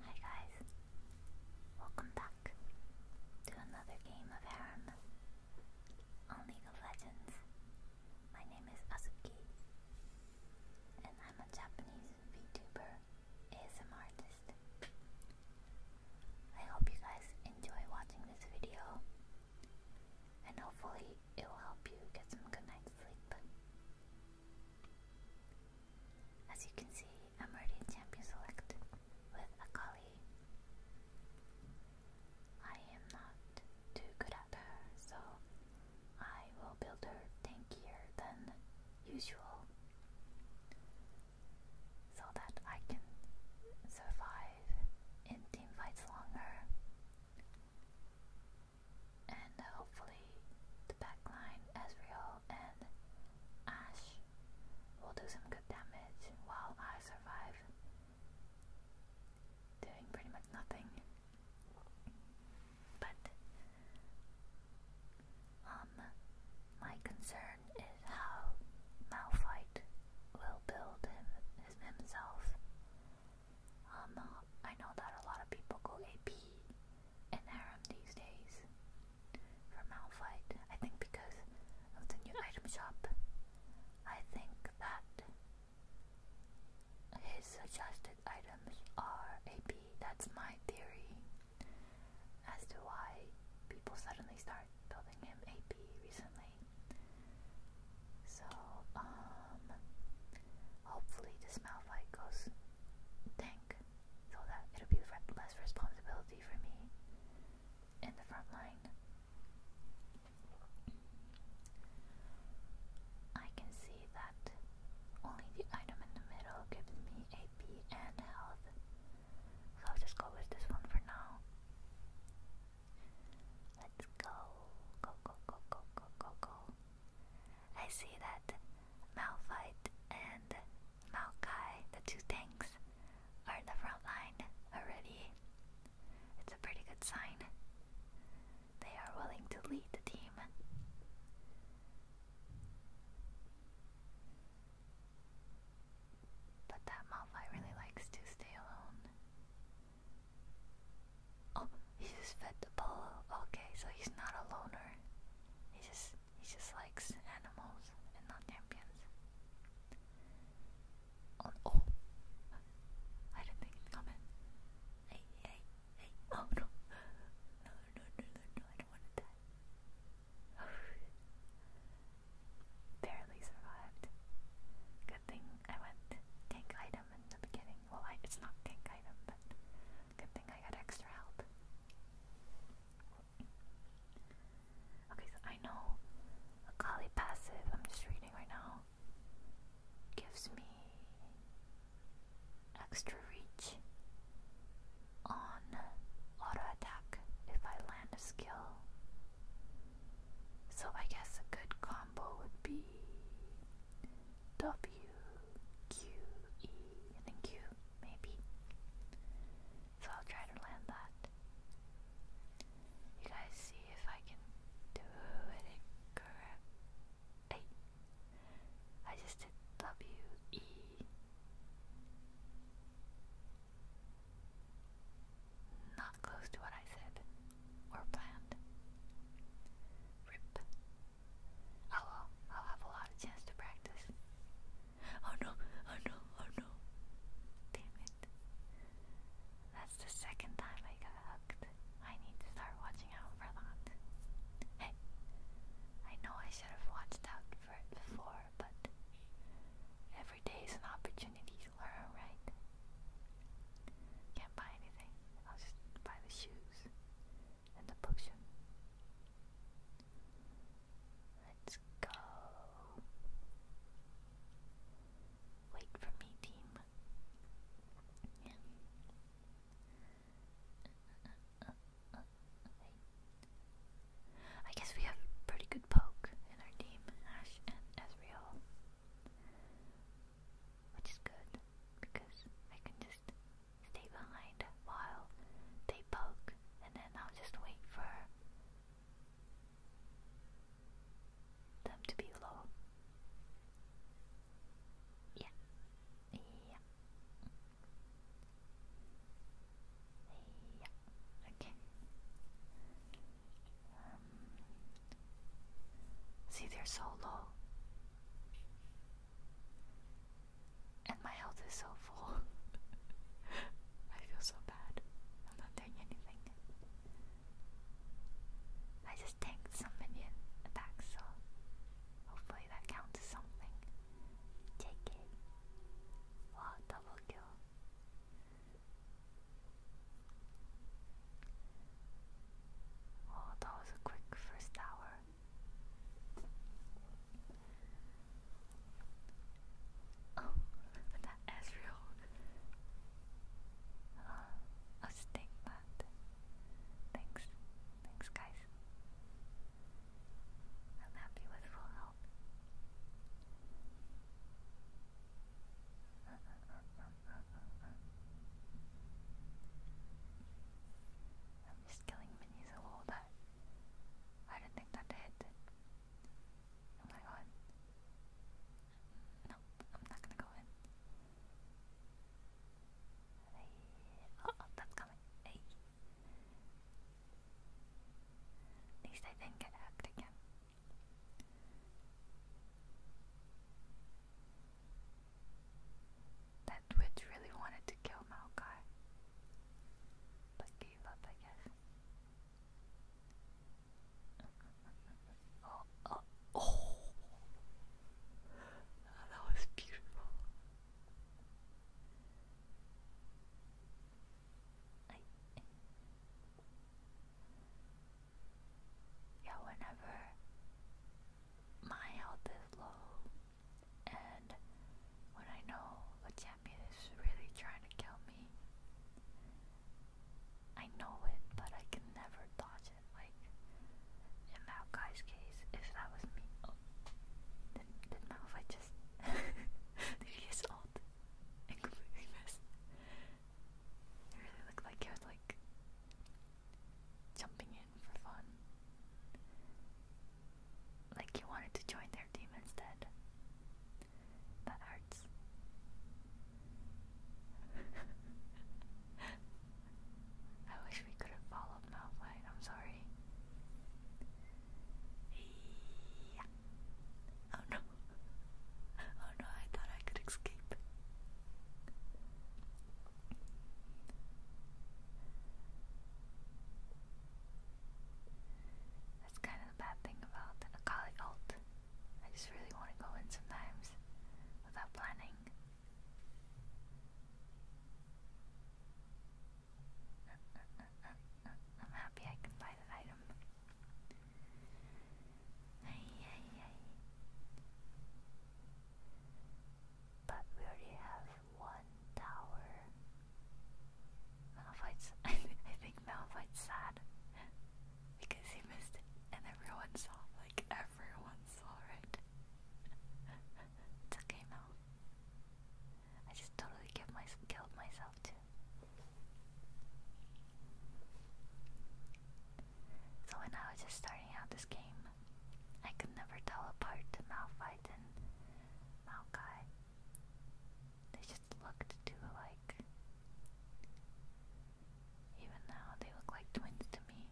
Hi guys, welcome back to another game of Harem on League Legends. My name is Azuki and I'm a Japanese VTuber ASM artist. I hope you guys enjoy watching this video and hopefully it will help you get some good night's sleep. As you can see, i a Meridian champion select with Akali. I am not too good at her, so I will build her tankier than usual so that I can survive in team fights longer and uh, hopefully the backline Ezreal and Ash will do some good damage while I survive doing pretty much nothing. But um my concern is how Malphite will build him himself. Um I know that a lot of people go AP and Harem these days for Malphite. I think because of the new item shop. I think that his suggested items are AP. That's my theory as to why people suddenly start building him AP recently. So, um, hopefully this Malphite goes Thank so that it'll be less responsibility for me in the front line. I can see that only the item in the middle gives me AP and health, so I'll just go with this one for now. Let's go, go, go, go, go, go, go, go. I see that Malphite and Maokai, the two tanks, are in the front line already. It's a pretty good sign. They are willing to lead the team. But that Malphite really likes to stay alone. Oh, he just fed the polo. Okay, so he's not a loner. He just he just likes animals and not champions. Oh, oh. I didn't think it'd Hey, hey, hey. Oh no. No, no, no, no, I don't want to die. Barely survived. Good thing I went tank item in the beginning. Well, it's not tank item, but Good thing I got extra help. Okay, so I know Akali passive, I'm just reading right now, gives me extra reach on auto attack if I land a skill. So I guess a good combo would be W, Q, E, and Q, maybe. So I'll try to land that. You guys see if I can do it correct. Hey, I just did W, E. Not close to what I said or planned. Rip. Oh well, I'll have a lot of chance to practice. Oh no, oh no, oh no. Damn it. That's the second time I got hooked. I need to start watching out for that. Hey, I know I should have watched out for it before, but every day is an opportunity to learn, right? Can't buy anything. I'll just buy the shoes and the potion. Let's go. Wait for me, team. I guess we have pretty good poke in our team, Ash and Ezreal which is good because I can just stay behind while they poke and then I'll just wait for them to be low. Yeah. Yeah. Yeah. Okay. Um, see, they're so low. And my health is so full. I feel so bad. I'm not doing anything. I just tanked some minion attacks, so hopefully that counts as something. Take it. Wow, double Oh, that was a quick first hour. Oh, that Ezreal. Uh, I'll just that. Thanks. Thanks, guys. I'm happy with full health. I'm just killing minis all day. I didn't think that did. Oh my god. Nope, I'm not gonna go in. Oh, that's coming. Hey. I didn't get hacked again. That witch really wanted to kill Maokai, but gave up, I guess. oh, that was beautiful yeah, whenever my health is low and when I know a champion is really trying to kill me, I know it, but I can never dodge it. Like in that guy's case, if that was me, oh, did, did Malphite just did he just It really looked like he was like jumping in for fun. Like you wanted to join their team instead. That hurts. I wish we could have followed Malphite, I'm sorry. Yeah. Oh no. Oh no, I thought I could escape. That's kind of the bad thing about a college alt. I just really want to go in sometimes without planning. I'm happy I can buy that item. But we already have one tower. Malphite's. I, think Malphite's sad because he missed it, and everyone saw. Like everyone saw it. it's okay, Mal. I just totally killed, killed myself too. So when I was just starting out this game, I could never tell apart Malphite and Maokai. They just looked too alike. Even now, they look like twins to me.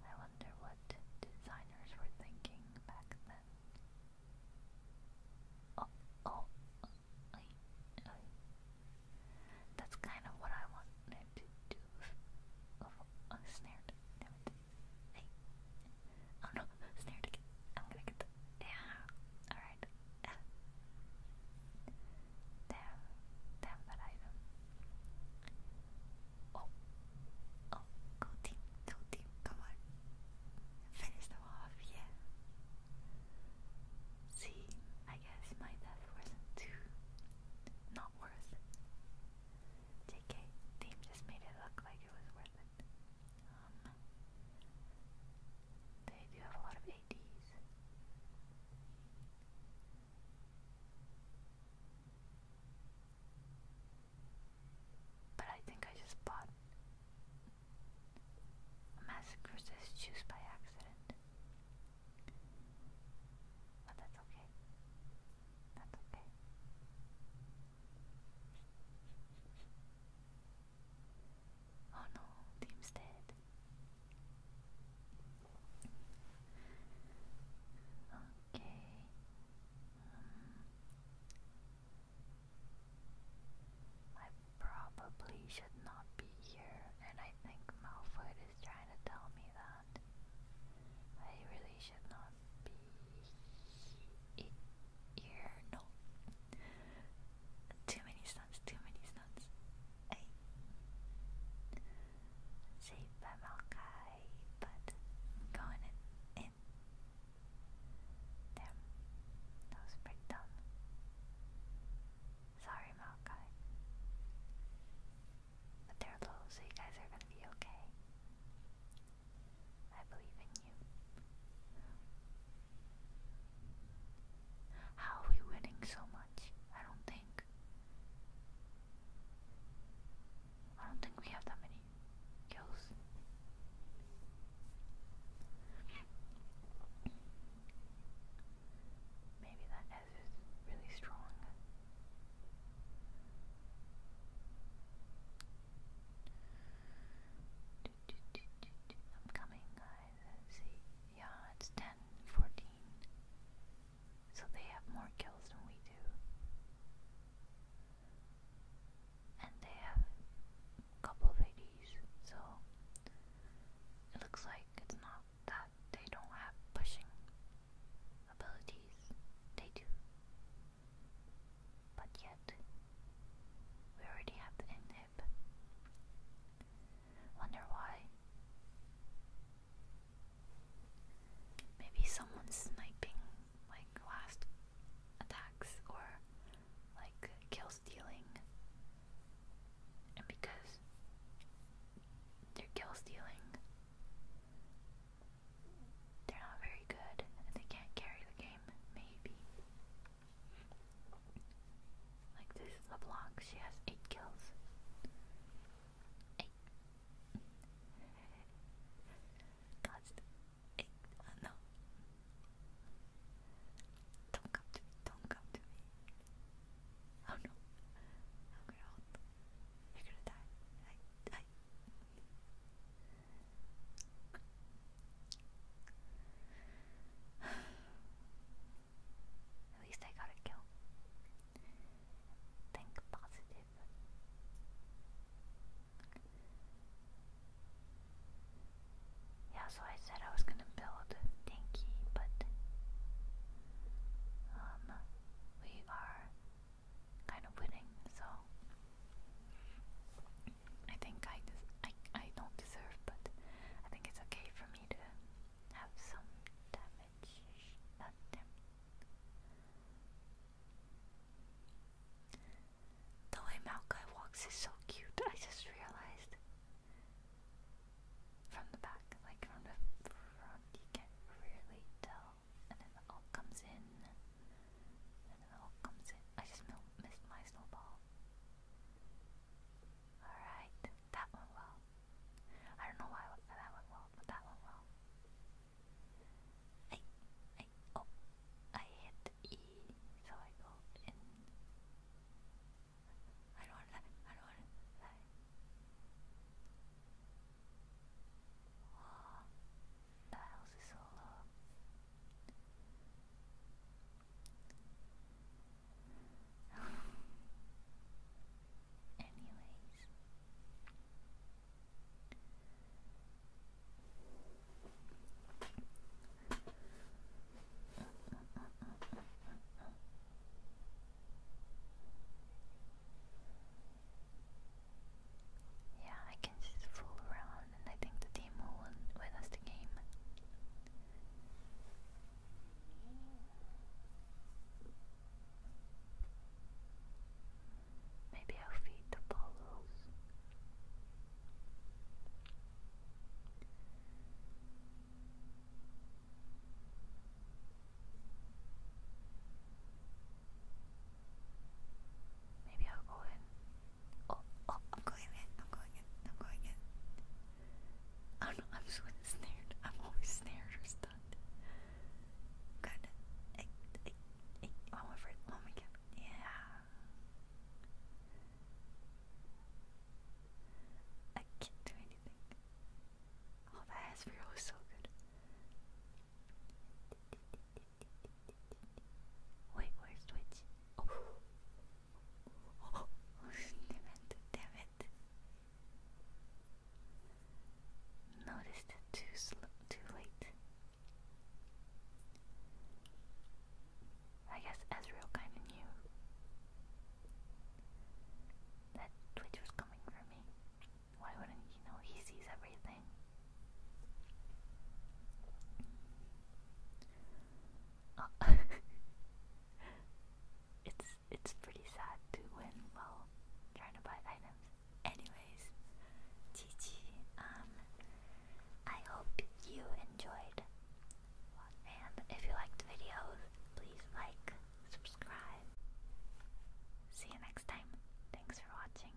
I wonder what designers were thinking back then. Oh, oh, I, I. That's kind of what I wanted to do. Oh, oh snared. Damn Hey. Oh no, snared again. I'm gonna get the. Yeah. Alright. Damn. Damn that item. Oh, oh, go team, go team, come on. Finish them off, yeah. See, I guess my death wasn't too. not worth JK, team just made it look like it was worth it. Um. They do have a lot of ADs. But I think I just bought a massacre's juice by accident. But that's okay. That's okay. Oh no, team's dead. Okay. Um, I probably should not be here, and I think Malfoy is trying to tell me that I really should not be here. No, too many stunts, too many stunts. Saved by Maokai, but going in. Damn, that was dumb. Sorry, Maokai. But they're low, so you guys are gonna be okay. I believe in you. How are we winning so much? I don't think think. I don't think we have that many kills. Maybe that S is really strong. I'm coming, guys. Let's see. Yeah, it's 10, so they have more kills than we do. And they have a couple of so it looks like it's not that they don't have pushing abilities. They do. But yet, we already have the inhib. Wonder why. Maybe someone's sniping like last attacks or like kill stealing. And because they're kill stealing, they're not very good and they can't carry the game, maybe. Like this LeBlanc, she has eight kills. Constant. Don't come Don't come to me. Oh no. You're gonna die. At least I got a kill. Think positive. Yeah, so I said I was gonna build Dinky, but um, we are kind of winning, so I think I I I don't deserve, but I think it's okay for me to have some time the way Maokai walks is so cute. I just realized from the back, like from the front, you can't really tell. And then the all comes in, and then the all comes in. I just missed my snowball. Alright, that one. well. I don't know why that went well, but that went well. I, I, oh, I hit E, so I go in. don't want to I don't want to die. house is so low. Anyways. Yeah, I can just fool around, and I think the team will win, win us the game. Maybe I'll feed the polos. Maybe I'll go in. Oh, oh, I'm going in. I'm going in. I'm going in. I do I'm just really snared. I'm always snared or stunned. Good. I, I, am afraid. Oh my god. Yeah. I can't do anything. Oh, that ass so good. Wait, where's Twitch? Oh. damn it, damn it. Noticed too slow, too late. I guess Ezreal kind of knew that Twitch was coming for me. Why wouldn't he know? He sees everything. Oh. it's it's pretty sad to win while trying to buy items. Anyways, GG. Um, I hope you enjoyed, and if you liked the video, please like, subscribe. See you next time. Thanks for watching.